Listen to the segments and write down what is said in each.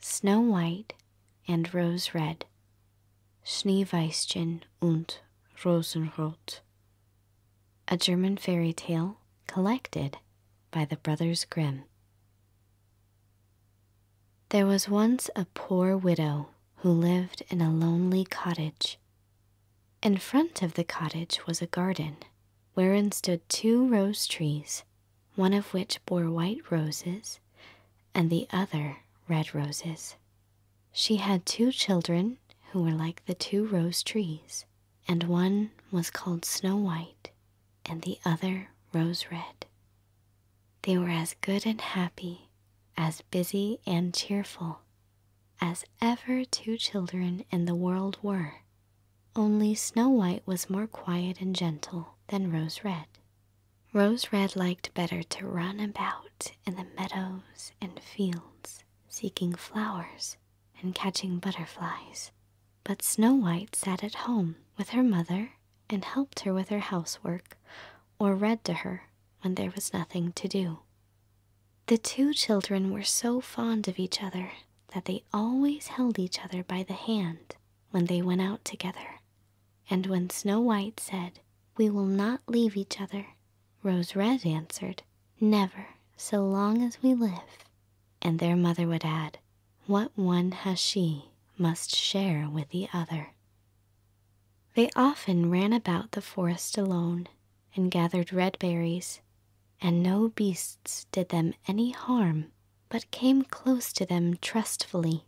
Snow White and Rose Red, Schneeweißchen und Rosenrot, a German fairy tale collected by the Brothers Grimm. There was once a poor widow who lived in a lonely cottage. In front of the cottage was a garden wherein stood two rose trees, one of which bore white roses and the other red roses. She had two children who were like the two rose trees, and one was called Snow White and the other rose red. They were as good and happy, as busy and cheerful, as ever two children in the world were. Only Snow White was more quiet and gentle than Rose Red. Rose Red liked better to run about in the meadows and fields, seeking flowers and catching butterflies, but Snow White sat at home with her mother and helped her with her housework or read to her when there was nothing to do. The two children were so fond of each other that they always held each other by the hand when they went out together. And when Snow White said, We will not leave each other, Rose Red answered, Never, so long as we live. And their mother would add, what one has she must share with the other. They often ran about the forest alone and gathered red berries, and no beasts did them any harm, but came close to them trustfully.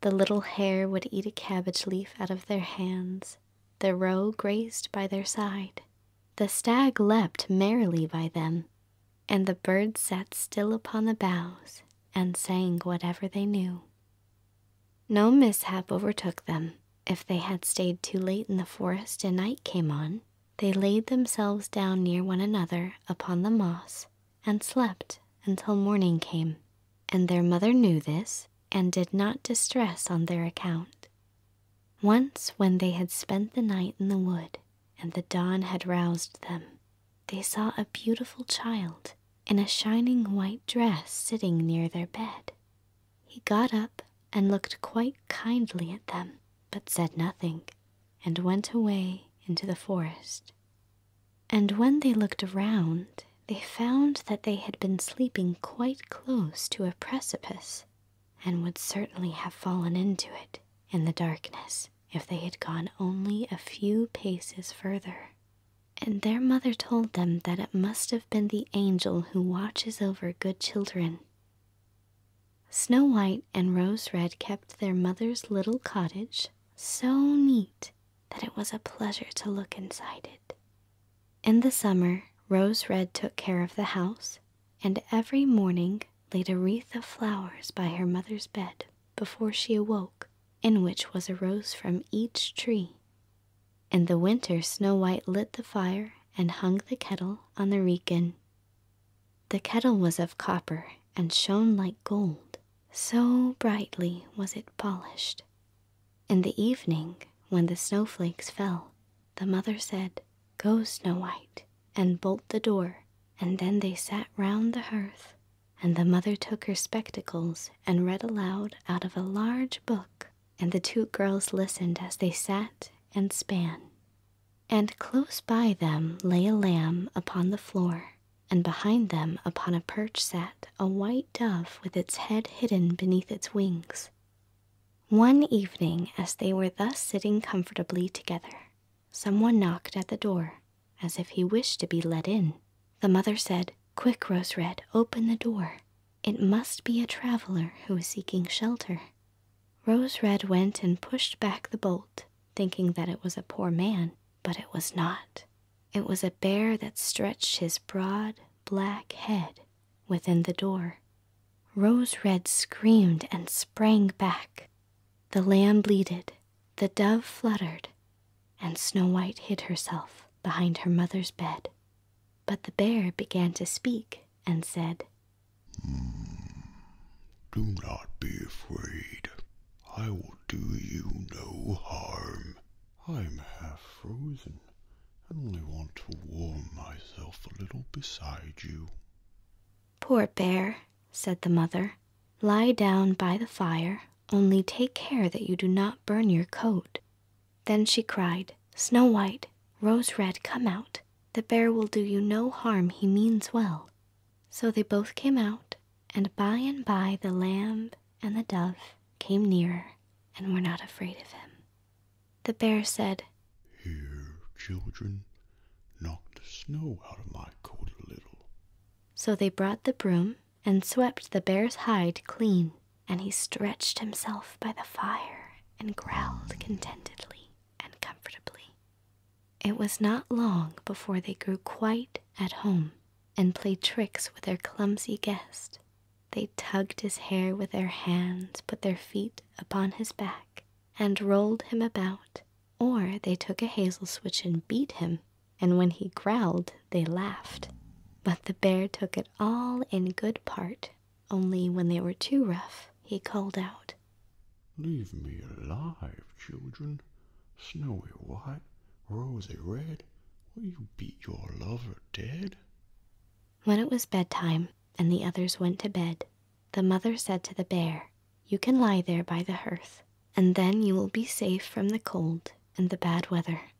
The little hare would eat a cabbage leaf out of their hands, the roe grazed by their side, the stag leapt merrily by them, and the birds sat still upon the boughs and sang whatever they knew. No mishap overtook them. If they had stayed too late in the forest and night came on, they laid themselves down near one another upon the moss and slept until morning came. And their mother knew this and did not distress on their account. Once, when they had spent the night in the wood, and the dawn had roused them, they saw a beautiful child in a shining white dress sitting near their bed. He got up and looked quite kindly at them, but said nothing, and went away into the forest. And when they looked around, they found that they had been sleeping quite close to a precipice, and would certainly have fallen into it in the darkness if they had gone only a few paces further. And their mother told them that it must have been the angel who watches over good children. Snow White and Rose Red kept their mother's little cottage so neat that it was a pleasure to look inside it. In the summer, Rose Red took care of the house and every morning laid a wreath of flowers by her mother's bed before she awoke, in which was a rose from each tree. In the winter, Snow White lit the fire and hung the kettle on the reekin. The kettle was of copper and shone like gold, so brightly was it polished. In the evening, when the snowflakes fell, the mother said, Go, Snow White, and bolt the door. And then they sat round the hearth, and the mother took her spectacles and read aloud out of a large book, and the two girls listened as they sat and span. And close by them lay a lamb upon the floor, and behind them upon a perch sat a white dove with its head hidden beneath its wings. One evening, as they were thus sitting comfortably together, someone knocked at the door, as if he wished to be let in. The mother said, Quick, Rose Red, open the door. It must be a traveler who is seeking shelter. Rose Red went and pushed back the bolt, thinking that it was a poor man, but it was not. It was a bear that stretched his broad, black head within the door Rose Red screamed and sprang back. The lamb bleated, the dove fluttered, and Snow White hid herself behind her mother's bed. But the bear began to speak and said, Do not be afraid. I will do you no harm. I'm half frozen and only want to warm myself a little beside you. Poor bear, said the mother, lie down by the fire, only take care that you do not burn your coat. Then she cried, Snow White, Rose Red, come out. The bear will do you no harm, he means well. So they both came out, and by and by the lamb and the dove came nearer and were not afraid of him. The bear said, Here, children, knock the snow out of my coat a little. So they brought the broom and swept the bear's hide clean, and he stretched himself by the fire and growled contentedly and comfortably. It was not long before they grew quite at home and played tricks with their clumsy guest. They tugged his hair with their hands, put their feet upon his back, and rolled him about, or they took a hazel switch and beat him, and when he growled, they laughed. But the bear took it all in good part, only when they were too rough, he called out, Leave me alive, children. Snowy White, Rosy Red, will you beat your lover dead? When it was bedtime and the others went to bed, the mother said to the bear, You can lie there by the hearth, and then you will be safe from the cold and the bad weather.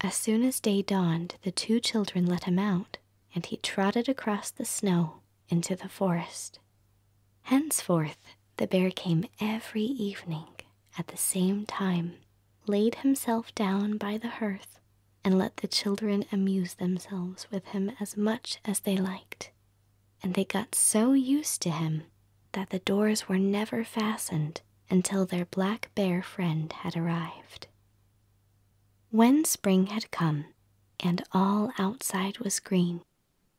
As soon as day dawned, the two children let him out, and he trotted across the snow into the forest. Henceforth, the bear came every evening at the same time, laid himself down by the hearth, and let the children amuse themselves with him as much as they liked. And they got so used to him that the doors were never fastened until their black bear friend had arrived. When spring had come and all outside was green,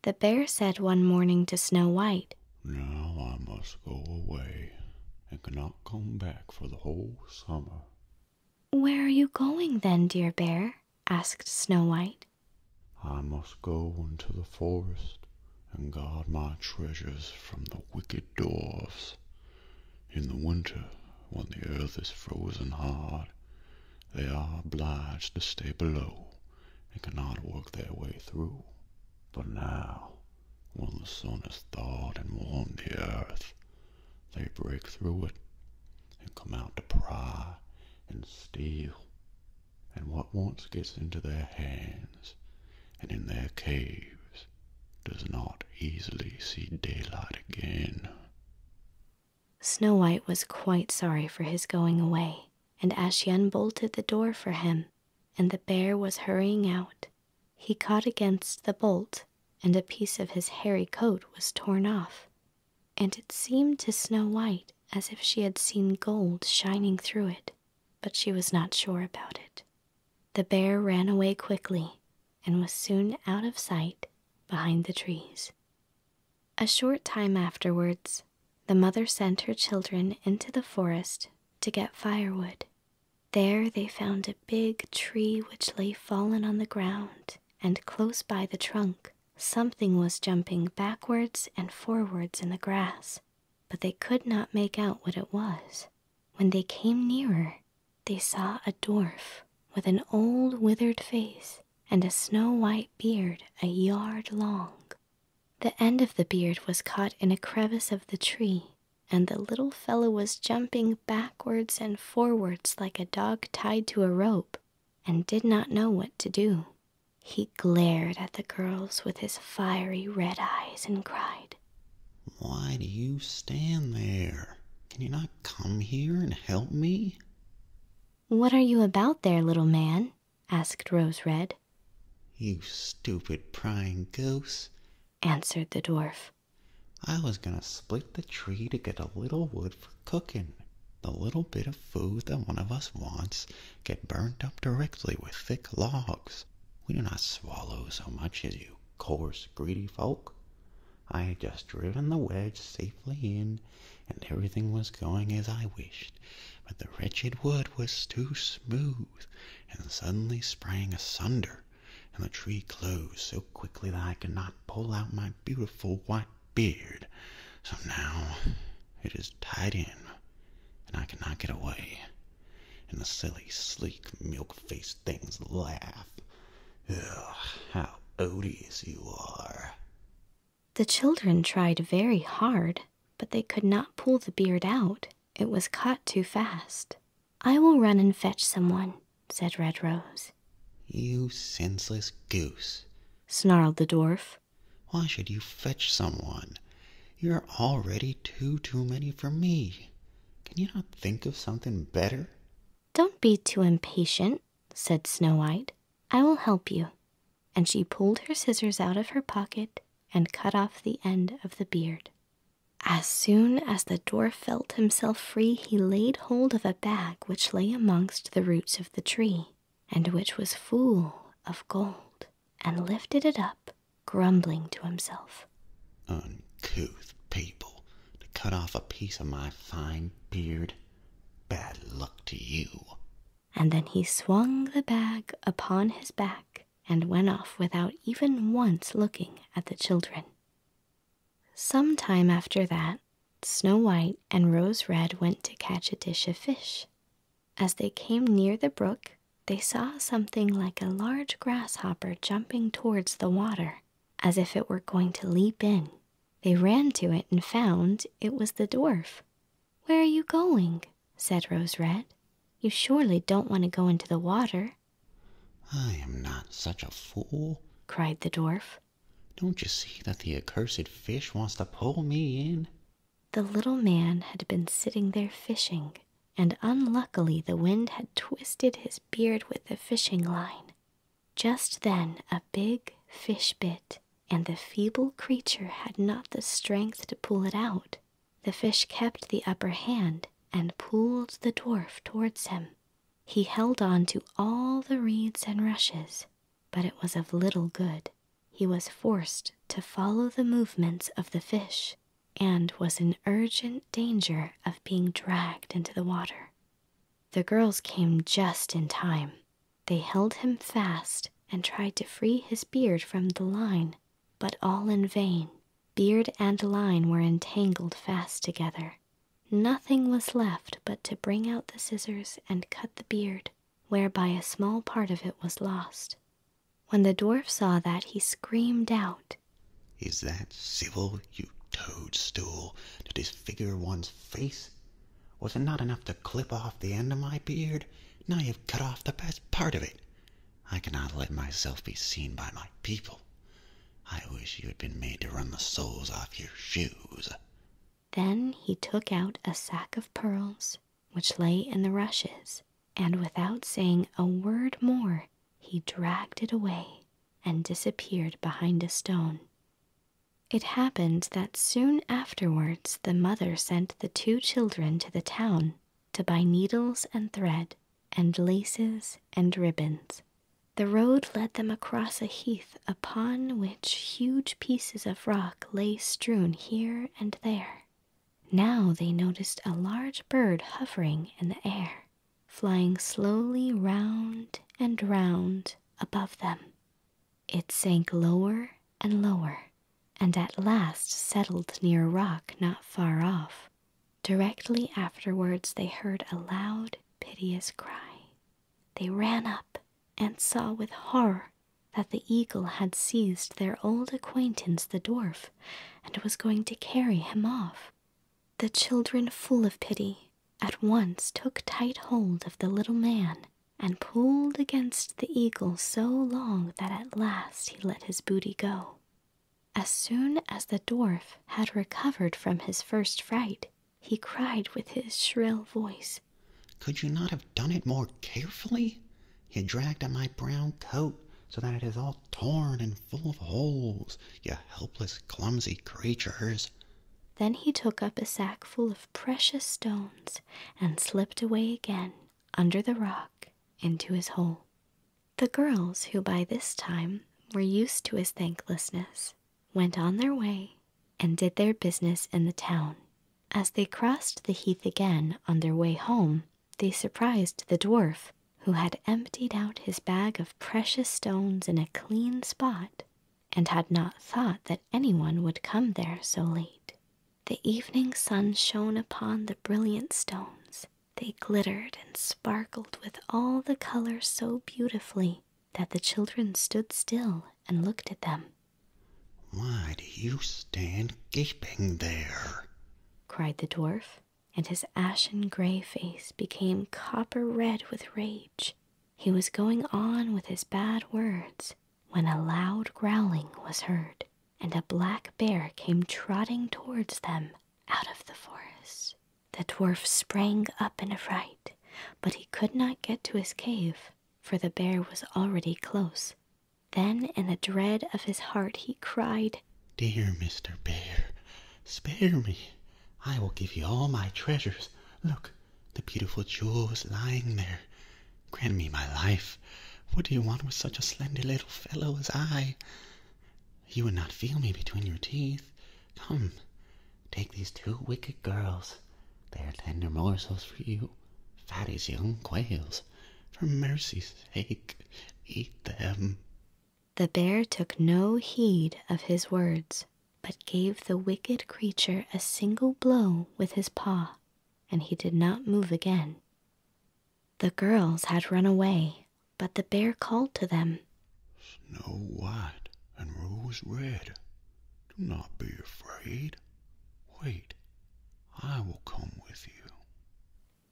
the bear said one morning to Snow White, Now I must go away and cannot come back for the whole summer. Where are you going then, dear bear? asked Snow White. I must go into the forest and guard my treasures from the wicked dwarfs. In the winter, when the earth is frozen hard, they are obliged to stay below and cannot work their way through. But now, when the sun has thawed and warmed the earth, they break through it and come out to pry and steal. And what once gets into their hands and in their caves does not easily see daylight again. Snow White was quite sorry for his going away, and as she unbolted the door for him, and the bear was hurrying out, he caught against the bolt, and a piece of his hairy coat was torn off, and it seemed to Snow White as if she had seen gold shining through it, but she was not sure about it. The bear ran away quickly and was soon out of sight behind the trees. A short time afterwards, the mother sent her children into the forest to get firewood. There they found a big tree which lay fallen on the ground, and close by the trunk something was jumping backwards and forwards in the grass, but they could not make out what it was. When they came nearer, they saw a dwarf with an old withered face and a snow white beard a yard long. The end of the beard was caught in a crevice of the tree, and the little fellow was jumping backwards and forwards like a dog tied to a rope and did not know what to do. He glared at the girls with his fiery red eyes and cried, Why do you stand there? Can you not come here and help me? What are you about there, little man? asked Rose Red. You stupid prying ghost, answered the dwarf. I was gonna split the tree to get a little wood for cooking. The little bit of food that one of us wants get burnt up directly with thick logs. We do not swallow so much as you coarse, greedy folk. I had just driven the wedge safely in, and everything was going as I wished, but the wretched wood was too smooth, and suddenly sprang asunder and the tree closed so quickly that I could not pull out my beautiful white beard. So now it is tied in, and I cannot get away. And the silly, sleek, milk-faced things laugh. Ugh, how odious you are. The children tried very hard, but they could not pull the beard out. It was caught too fast. I will run and fetch someone, said Red Rose. You senseless goose, snarled the dwarf. Why should you fetch someone? You're already too, too many for me. Can you not think of something better? Don't be too impatient, said Snow White. I will help you. And she pulled her scissors out of her pocket and cut off the end of the beard. As soon as the dwarf felt himself free, he laid hold of a bag which lay amongst the roots of the tree, and which was full of gold, and lifted it up, grumbling to himself. Uncouth people, to cut off a piece of my fine beard. Bad luck to you. And then he swung the bag upon his back and went off without even once looking at the children. Some time after that, Snow White and Rose Red went to catch a dish of fish. As they came near the brook, they saw something like a large grasshopper jumping towards the water, as if it were going to leap in. They ran to it and found it was the dwarf. Where are you going? said Rose Red. You surely don't want to go into the water. I am not such a fool, cried the dwarf. Don't you see that the accursed fish wants to pull me in? The little man had been sitting there fishing, and unluckily the wind had twisted his beard with the fishing line. Just then a big fish bit, and the feeble creature had not the strength to pull it out. The fish kept the upper hand and pulled the dwarf towards him. He held on to all the reeds and rushes, but it was of little good. He was forced to follow the movements of the fish and was in urgent danger of being dragged into the water. The girls came just in time. They held him fast and tried to free his beard from the line, but all in vain. Beard and line were entangled fast together. Nothing was left but to bring out the scissors and cut the beard, whereby a small part of it was lost. When the dwarf saw that, he screamed out, Is that civil, you toadstool, to disfigure one's face? Was it not enough to clip off the end of my beard? Now you've cut off the best part of it. I cannot let myself be seen by my people. I wish you had been made to run the soles off your shoes. Then he took out a sack of pearls which lay in the rushes, and without saying a word more, he dragged it away and disappeared behind a stone. It happened that soon afterwards the mother sent the two children to the town to buy needles and thread, and laces and ribbons. The road led them across a heath upon which huge pieces of rock lay strewn here and there. Now they noticed a large bird hovering in the air, flying slowly round and round above them. It sank lower and lower, and at last settled near a rock not far off. Directly afterwards, they heard a loud, piteous cry. They ran up and saw with horror that the eagle had seized their old acquaintance, the dwarf, and was going to carry him off. The children, full of pity, at once took tight hold of the little man and pulled against the eagle so long that at last he let his booty go. As soon as the dwarf had recovered from his first fright, he cried with his shrill voice, Could you not have done it more carefully? You dragged on my brown coat so that it is all torn and full of holes, you helpless, clumsy creatures. Then he took up a sack full of precious stones and slipped away again under the rock into his hole. The girls, who by this time were used to his thanklessness, went on their way and did their business in the town. As they crossed the heath again on their way home, they surprised the dwarf, who had emptied out his bag of precious stones in a clean spot and had not thought that anyone would come there so late. The evening sun shone upon the brilliant stones they glittered and sparkled with all the colors so beautifully that the children stood still and looked at them. Why do you stand gaping there? cried the dwarf, and his ashen gray face became copper red with rage. He was going on with his bad words when a loud growling was heard and a black bear came trotting towards them out of the forest. The dwarf sprang up in a fright, but he could not get to his cave, for the bear was already close. Then, in the dread of his heart, he cried, Dear Mr. Bear, spare me. I will give you all my treasures. Look, the beautiful jewels lying there. Grant me my life. What do you want with such a slender little fellow as I? You would not feel me between your teeth. Come, take these two wicked girls. They are tender morsels for you, fat as young quails. For mercy's sake, eat them. The bear took no heed of his words, but gave the wicked creature a single blow with his paw, and he did not move again. The girls had run away, but the bear called to them Snow White and Rose Red, do not be afraid. Wait, I will come with you.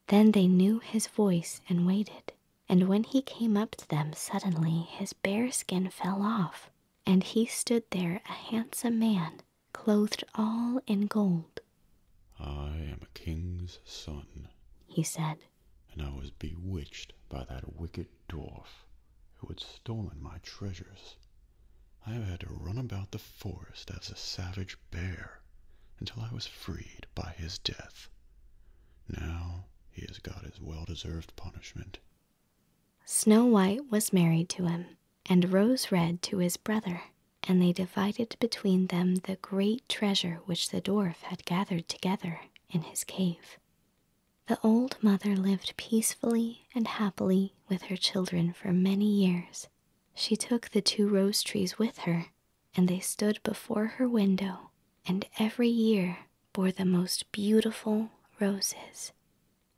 Then they knew his voice and waited. And when he came up to them suddenly, his bear skin fell off, and he stood there a handsome man clothed all in gold. I am a king's son, he said, and I was bewitched by that wicked dwarf who had stolen my treasures. I have had to run about the forest as a savage bear until I was freed by his death. Now he has got his well deserved punishment. Snow White was married to him, and Rose Red to his brother and they divided between them the great treasure which the dwarf had gathered together in his cave. The old mother lived peacefully and happily with her children for many years. She took the two rose trees with her, and they stood before her window, and every year bore the most beautiful roses,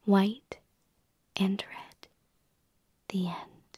white and red. The end.